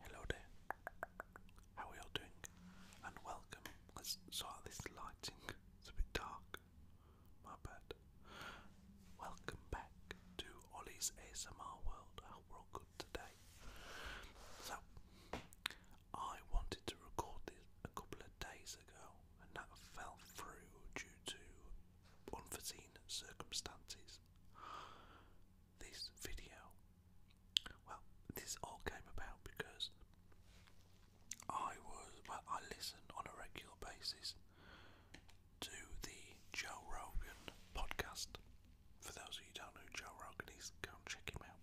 Hello there. How are you doing? And welcome. Let's sort this lighting. It's a bit dark. My bad. Welcome back to Ollie's ASMR World. I hope we're all good today. So, I wanted to record this a couple of days ago, and that fell through due to unforeseen circumstances. This video, well, this all came about because I was, well, I listen on a regular basis to the Joe Rogan podcast. For those of you who don't know Joe Rogan he's go and check him out.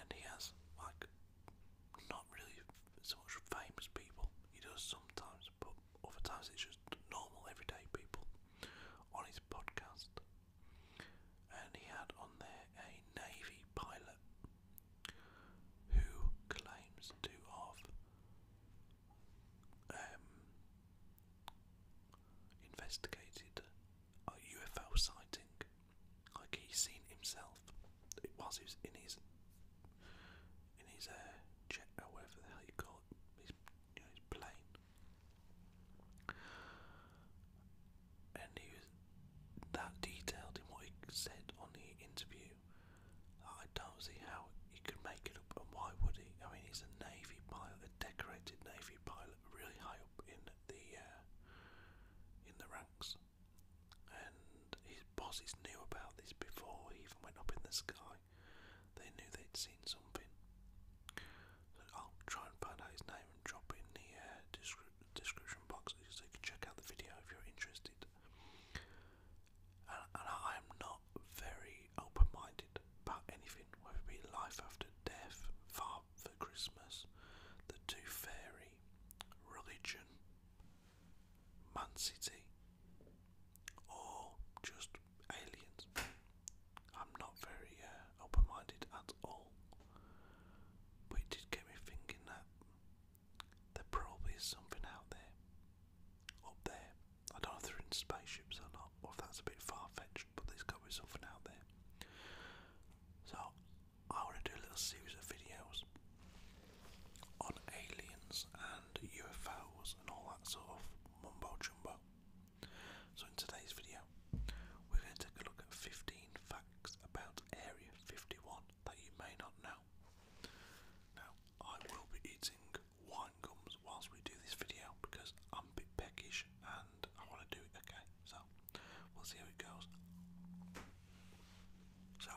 And he has, like, not really so much famous people. He does sometimes, but other times it's just normal, everyday people on his podcast. And he had on there a Navy pilot who claims to have um, investigated a UFO sighting. Like he's seen himself. It was, it was in his in his uh, jet or whatever the hell you call it, his, you know, his plane. And he was that detailed in what he said on the interview I don't see how he could make it up, and why would he? I mean, he's a Navy pilot, a decorated Navy pilot, really high up in the uh, in the ranks, and his bosses knew about this before he even went up in the sky. They knew they'd seen something. So I'll try and find out his name and drop it in the uh, description box so you can check out the video if you're interested. and I am not very open minded about anything, whether it be life after death, Far for Christmas, The two Fairy, religion, Man City, or just aliens. I'm not very uh, open minded at all. But it did get me thinking that there probably is something out there, up there, I don't know if they're in spaceships or not, or if that's a bit far fetched, but there's got to be something out there. So, I want to do a little series of videos on aliens and UFOs and all that sort of mumbo jumbo. So, in today's video, we're going to take a look at 15 facts about Area 51 that you may not know. Now, I will be eating wine gums whilst we do this video because I'm a bit peckish and I want to do it okay. So we'll see how it goes. So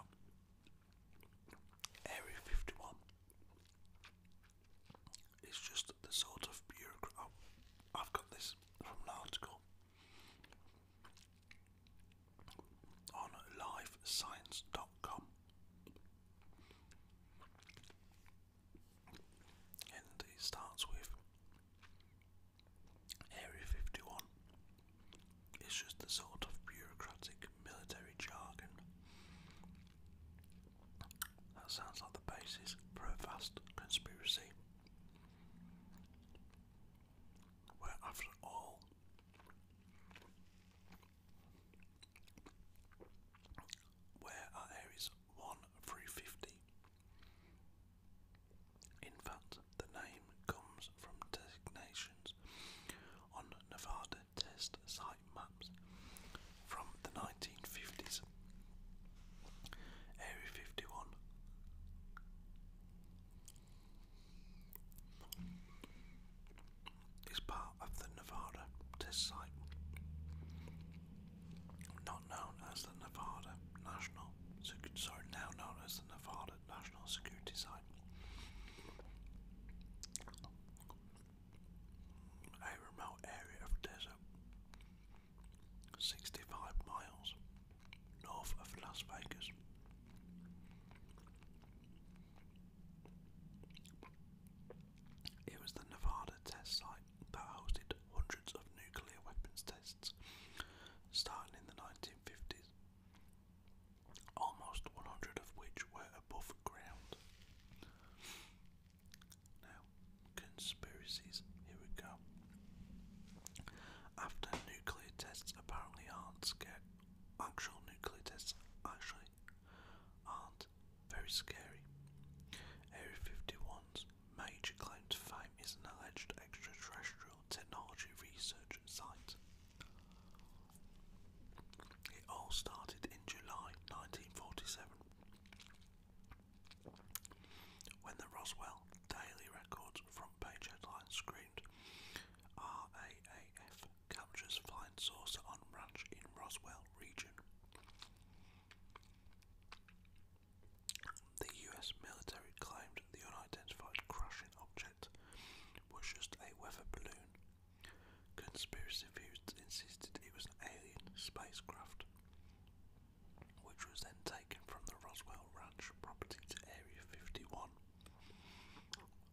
Area 51 is just the sort of bureaucrat. Oh, I've got this from an article on livescience.com. And it starts with Area 51. It's just the sort of bureaucratic military jargon. That sounds like the basis for a vast conspiracy. Where, after all, where are areas 1 through 50? In fact, the name comes from designations on Nevada test site maps from the 1950s. Area 51 is part of the Nevada test site, not known as the Nevada National, sorry, now known as the Nevada National Security Site. A remote area of desert, 65 miles north of Las Vegas. It was the Nevada test site that hosted hundreds of nuclear weapons tests starting in the 1950s, almost 100 of which were above ground. Now, conspiracies, here we go. After nuclear tests apparently aren't scared, actual nuclear actually aren't very scary. Area 51's major claim to fame is an alleged extraterrestrial technology research site. It all started in July 1947 when the Roswell Daily Records front page headline screamed RAAF captures flying saucer on ranch in Roswell region. The US military claimed the unidentified crashing object was just a weather balloon. Conspiracy theorists insisted it was an alien spacecraft, which was then taken from the Roswell Ranch property to Area 51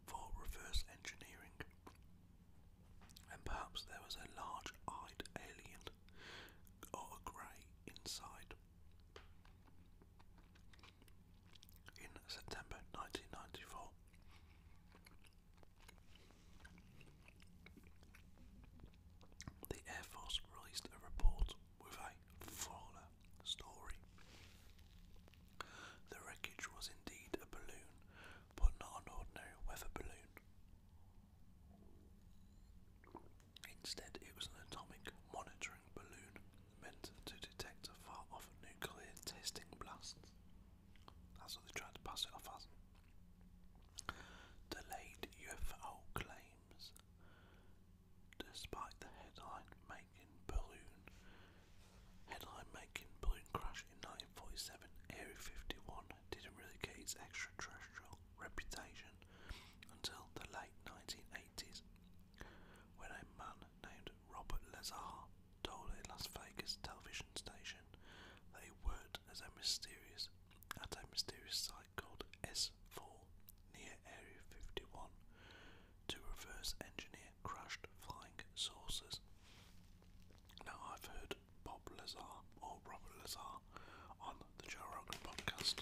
for reverse engineering. And perhaps there was a large eyed alien or a grey inside. In September 1994, the Air Force released a report with a fuller story. The wreckage was indeed a balloon, but not an ordinary weather balloon. Instead, it was an atomic monitoring balloon meant to detect far off nuclear testing blasts. That's what they tried to pass it off as. Delayed UFO claims despite the headline making balloon headline making balloon crash in 1947, Area 51 didn't really get its extraterrestrial reputation until the late 1980s, when a man named Robert Lazar told a Las Vegas television station that he worked as a mysterious at a mysterious site called S4 near Area 51 to reverse engineer crushed flying saucers. Now, I've heard Bob Lazar or Robert Lazar on the Joe podcast,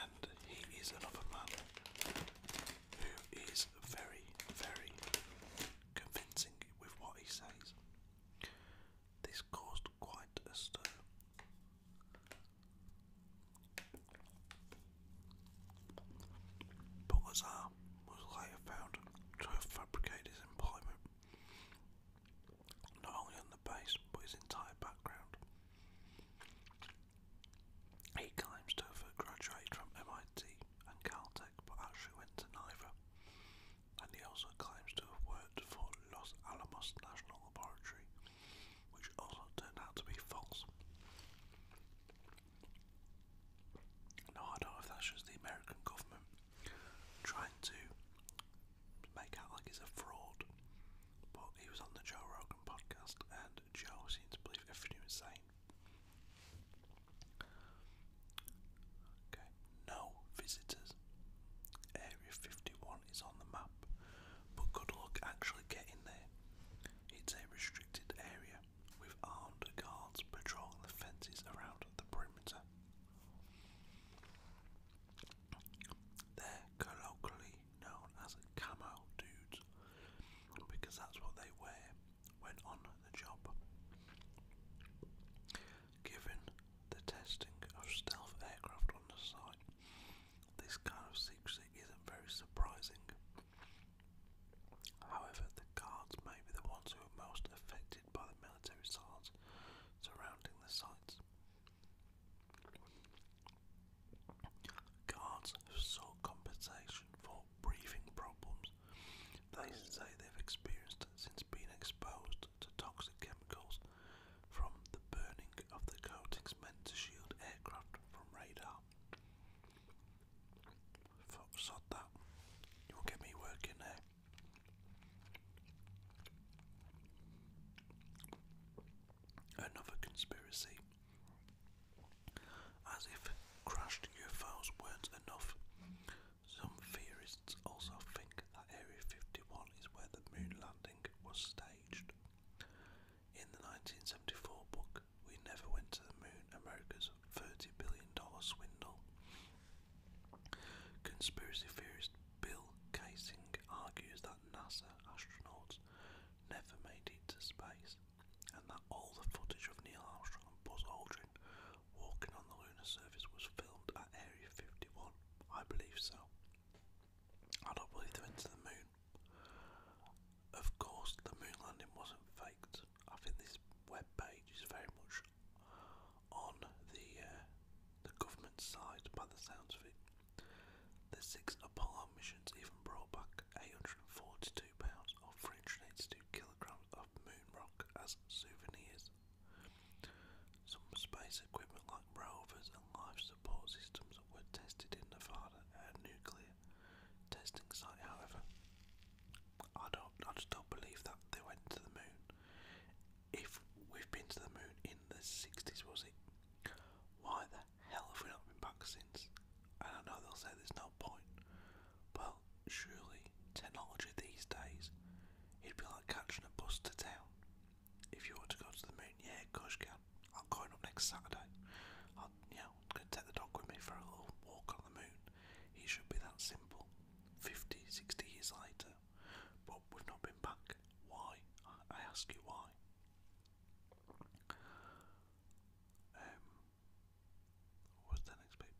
and he is another man who is very, very convincing with what he says. This caused quite a stir. But Lazar was later found to have fabricated his employment, not only on the base but his entire background. He claims to have graduated from MIT and Caltech but actually went to neither. And he also claims to have worked for Los Alamos National Laboratory which also turned out to be false. Now, I don't know if that's just the American government trying to make out like it's a fraud, but he was on the Joe Rogan podcast, and Joe seemed to believe everything he was saying. Okay, no visitors. Area 51 is on the map, but good luck actually getting there. It's a restricted area with armed guards patrolling the fences around the perimeter. They're colloquially known as camo dudes because that's what they wear when on the job. Given the testing of stealth aircraft on the site, this kind of secrecy isn't very surprising. However, the guards may be the ones who are most affected by the military sites surrounding the sites. Guards have sought compensation for breathing problems they say they've experienced since being exposed toxic chemicals from the burning of the coatings meant to shield aircraft from radar. Fuck, sod that. You will get me working there. Another conspiracy. As if crashed UFOs weren't enough, some theorists also think that Area 51 is where the moon landing was staged. In the 1974 book, We Never Went to the Moon America's $30 billion swindle, conspiracy theorist Bill Kaysing argues that NASA astronauts never made it to space and that all the footage of Neil Armstrong and Buzz Aldrin walking on the lunar surface was filmed at Area 51. I believe so. I don't believe they went the moon. Of course, the moon landing wasn't faked. I think this web page is very much on the uh, the government side, by the sounds of it. The six Apollo missions even brought back 842 pounds or 382 kilograms of moon rock as souvenirs. Some space equipment like rovers and life support systems were tested in Nevada at a nuclear testing site, however. I don't I just don't believe that they went to the moon. If we've been to the moon in the sixties was it? Why the hell have we not been back since? I don't know they'll say there's no point. Well, surely technology these days it'd be like catching a bus to town if you want to go to the moon, yeah, of course I'm going up next Saturday. I'll, yeah, i going to take the dog with me for a little walk on the moon. It should be that simple. 50, 60 years later, but we've not been back. Why? I, I ask you why. Um, what's the next bit?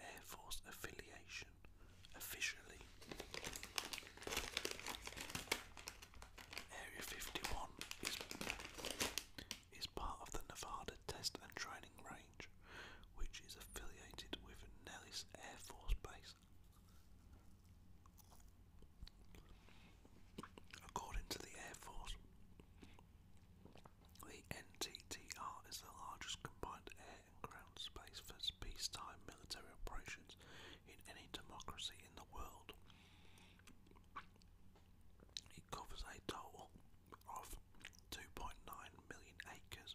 Air Force affiliation officially. Area 51 is, part of the Nevada Test and Training Range, which is affiliated with Nellis Air Force Base. According to the Air Force, the NTTR is the largest combined ground space for peacetime military operations in any democracy in the world. It covers a total of 2.9 million acres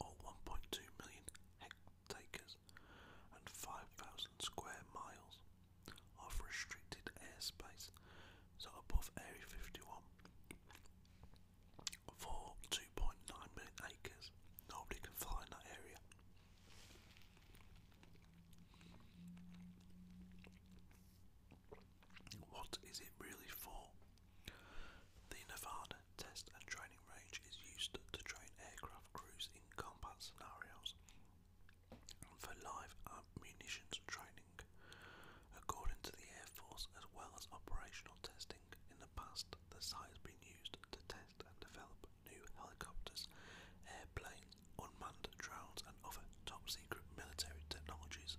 or 1.2 million hectares and 5,000 square miles of restricted airspace, so above Area 51 for 2.9 million acres. Nobody can fly in that area. What is it really for? The Nevada Test and Training Range is used to train aircraft crews in combat scenarios for live munitions training, according to the Air Force, as well as operational testing in the past, the site has been used to test and develop new helicopters, airplanes, unmanned drones, and other top secret military technologies.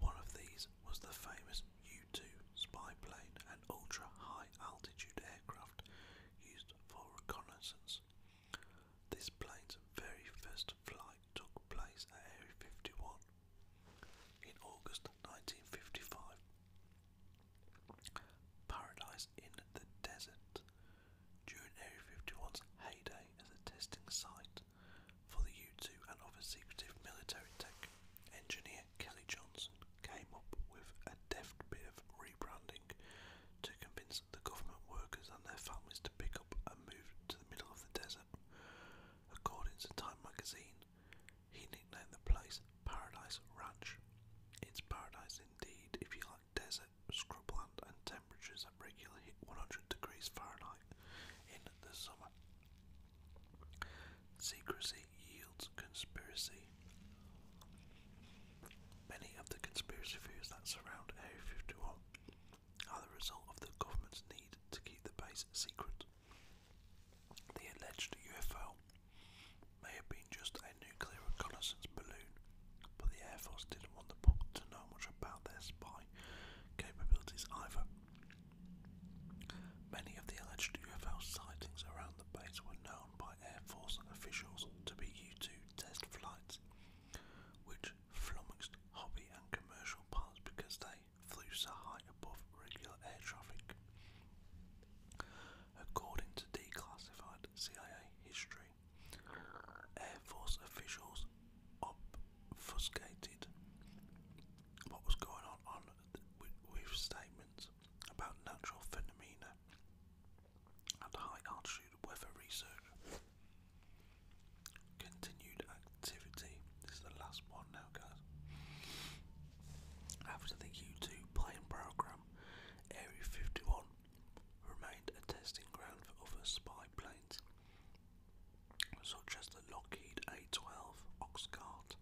One of these was the famous U 2 spy plane, an ultra high altitude aircraft used for reconnaissance. This plane's very first flight took place at Area 51 in August 1955, Paradise in the Desert, during Area 51's heyday as a testing site for the U2 and other secretive military tech, engineer Kelly Johnson came up with a deft bit of rebranding to convince the government workers and their families to pick up and move to the middle of the desert. According to Time magazine, he nicknamed the place Paradise Ranch. It's paradise indeed if you like desert, scrubland, and temperatures that regularly hit 100 degrees Fahrenheit in the summer. Secrecy yields conspiracy. Many of the conspiracy theories that surround Area 51 are the result of the government's need to keep the base secret. The alleged UFO may have been just a nuclear reconnaissance balloon, but the Air Force didn't want the public to know much about their spy capabilities either. Many of the alleged UFO sightings around the base were known by Air Force officials to be U 2 test flights, which flummoxed hobby and commercial pilots because they high flew so high above regular air traffic. According to declassified CIA history, Air Force officials obfuscated what was going on, on with statements about natural phenomena and high altitude weather research. Continued activity. This is the last one now, guys. After the u plane program, Area 51 remained a testing ground for other spy planes, such as the Lockheed A-12 Oxcart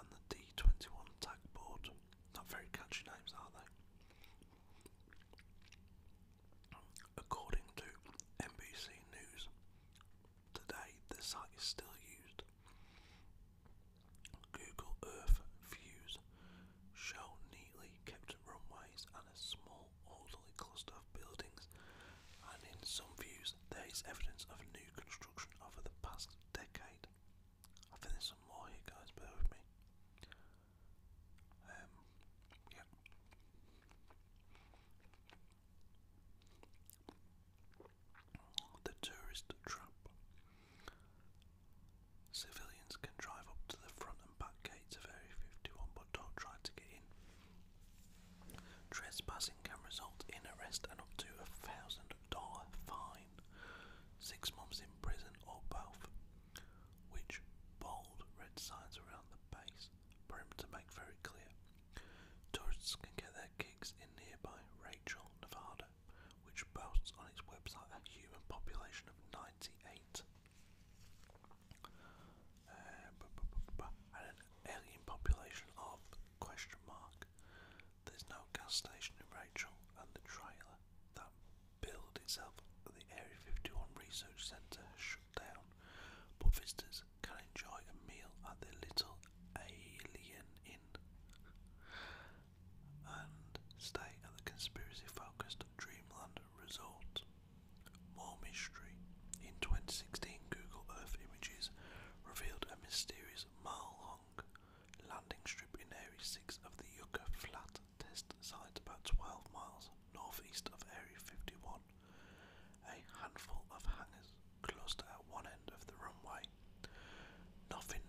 and the D-21 Tagboard. Not very catchy names, are they? According to NBC News, Today, the site is still used. Google Earth views show neatly kept runways and a small, orderly cluster of buildings, and in some views, there is evidence of new construction over the past decade. I think there's some more here, guys, bear with me. Um, the tourist trap. Civilians can drive up to the front and back gates of Area 51 but don't try to get in. Trespassing can result in arrest and up to a thousand dollar fine, six months in prison or both, which bold red signs around the base for him to make very clear. Tourists can get their kicks in nearby Rachel, Nevada, which boasts on its website a human population of 98 uh, and an alien population of question mark. There's no gas station in Rachel, and the trailer that built itself at the Area 51 Research Centre but visitors can enjoy a meal at the Little Alien Inn and stay at the conspiracy focused Dreamland Resort. More mystery. In 2016, Google Earth images revealed a mysterious mile long landing strip in Area 6 of the Yucca Flat test site, about 12 miles northeast of Area 51 a handful of hangars closed at one end of the runway. Nothing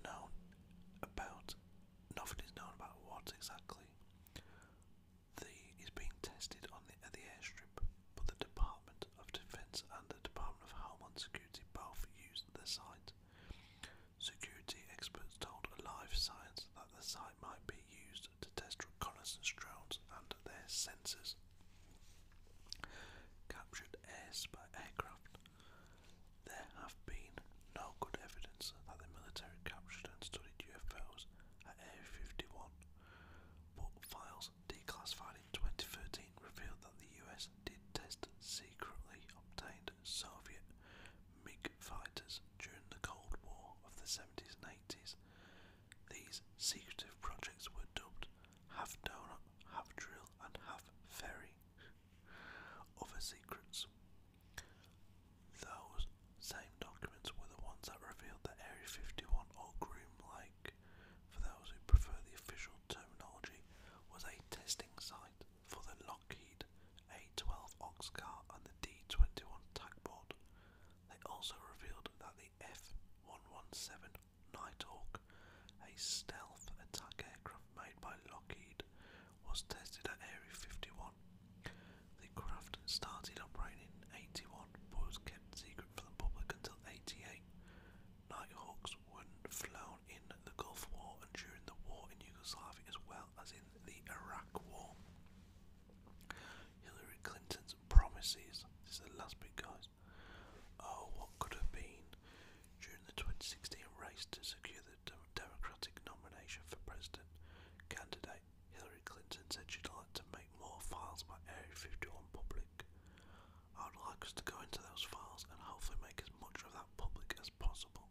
is known about what exactly is being tested on the airstrip, but the Department of Defence and the Department of Homeland Security both used the site. Security experts told Alive Science that the site might be used to test reconnaissance drones and their sensors. Captured airs by aircraft. There have been no good evidence that the military captured and studied UFOs at Area 51, but files declassified in 2013 revealed that the US did test secretly obtained Soviet MiG fighters during the Cold War of the 70s and 80s these secretive projects were dubbed Half Donut, Half Drill, and Half Ferry. Other secrets. Those same documents were the ones that revealed that Area 51 or Groom Lake, for those who prefer the official terminology, was a testing site for the Lockheed A 12 Oxcar and the D 21 Tagboard, they also revealed that the F-117 Nighthawk, a stealth attack aircraft made by Lockheed, was tested at Area 51. The craft started operating in 81 but was kept secret from the public until 88. Nighthawks were flown in the Gulf War and during the war in Yugoslavia as well as in the Iraq War. Hillary Clinton's promises, this is the last bit, guys. Oh, what could have been during the 2016 race to secure the Democratic nomination for president candidate? Hillary Clinton said she'd like to make more files by Area 51 public. I would like us to go into those files and hopefully make as much of that public as possible.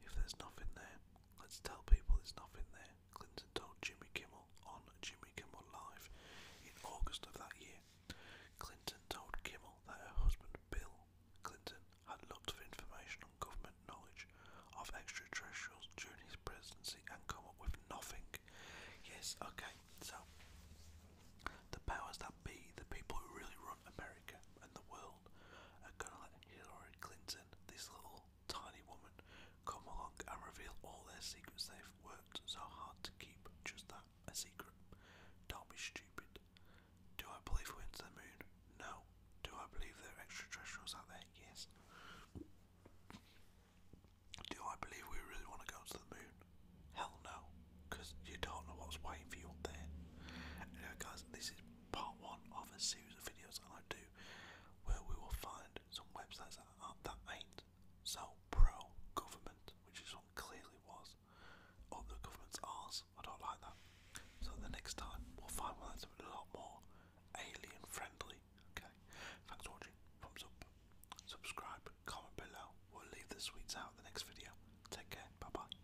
If there's nothing there, let's tell people there's nothing there. Clinton told Jimmy Kimmel on Jimmy Kimmel Live in August of that year. Clinton told Kimmel that her husband Bill Clinton had lots of information on government knowledge of extraterrestrials during his presidency and come up with nothing. Yes, okay, so the powers that be, the people who really run America and the world, are gonna let Hillary Clinton, this little tiny woman come along and reveal all their secrets they've worked so hard to keep just that a secret. Don't be stupid. Do I believe we're into the moon? No. Do I believe there are extraterrestrials out there? Yes. Do I believe we really want to go to the moon? Hell no. Because you don't know what's waiting for you up there. Anyway, guys, this is part one of a series of videos, I do to, where we will find some websites that, ain't so pro government, which this one clearly was. Oh, the government's ours. I don't like that. So the next time we'll find one that's a lot more alien friendly. Okay. Thanks for watching. Thumbs up. Subscribe. Comment below. We'll leave the sweets out the next video. Take care. Bye bye.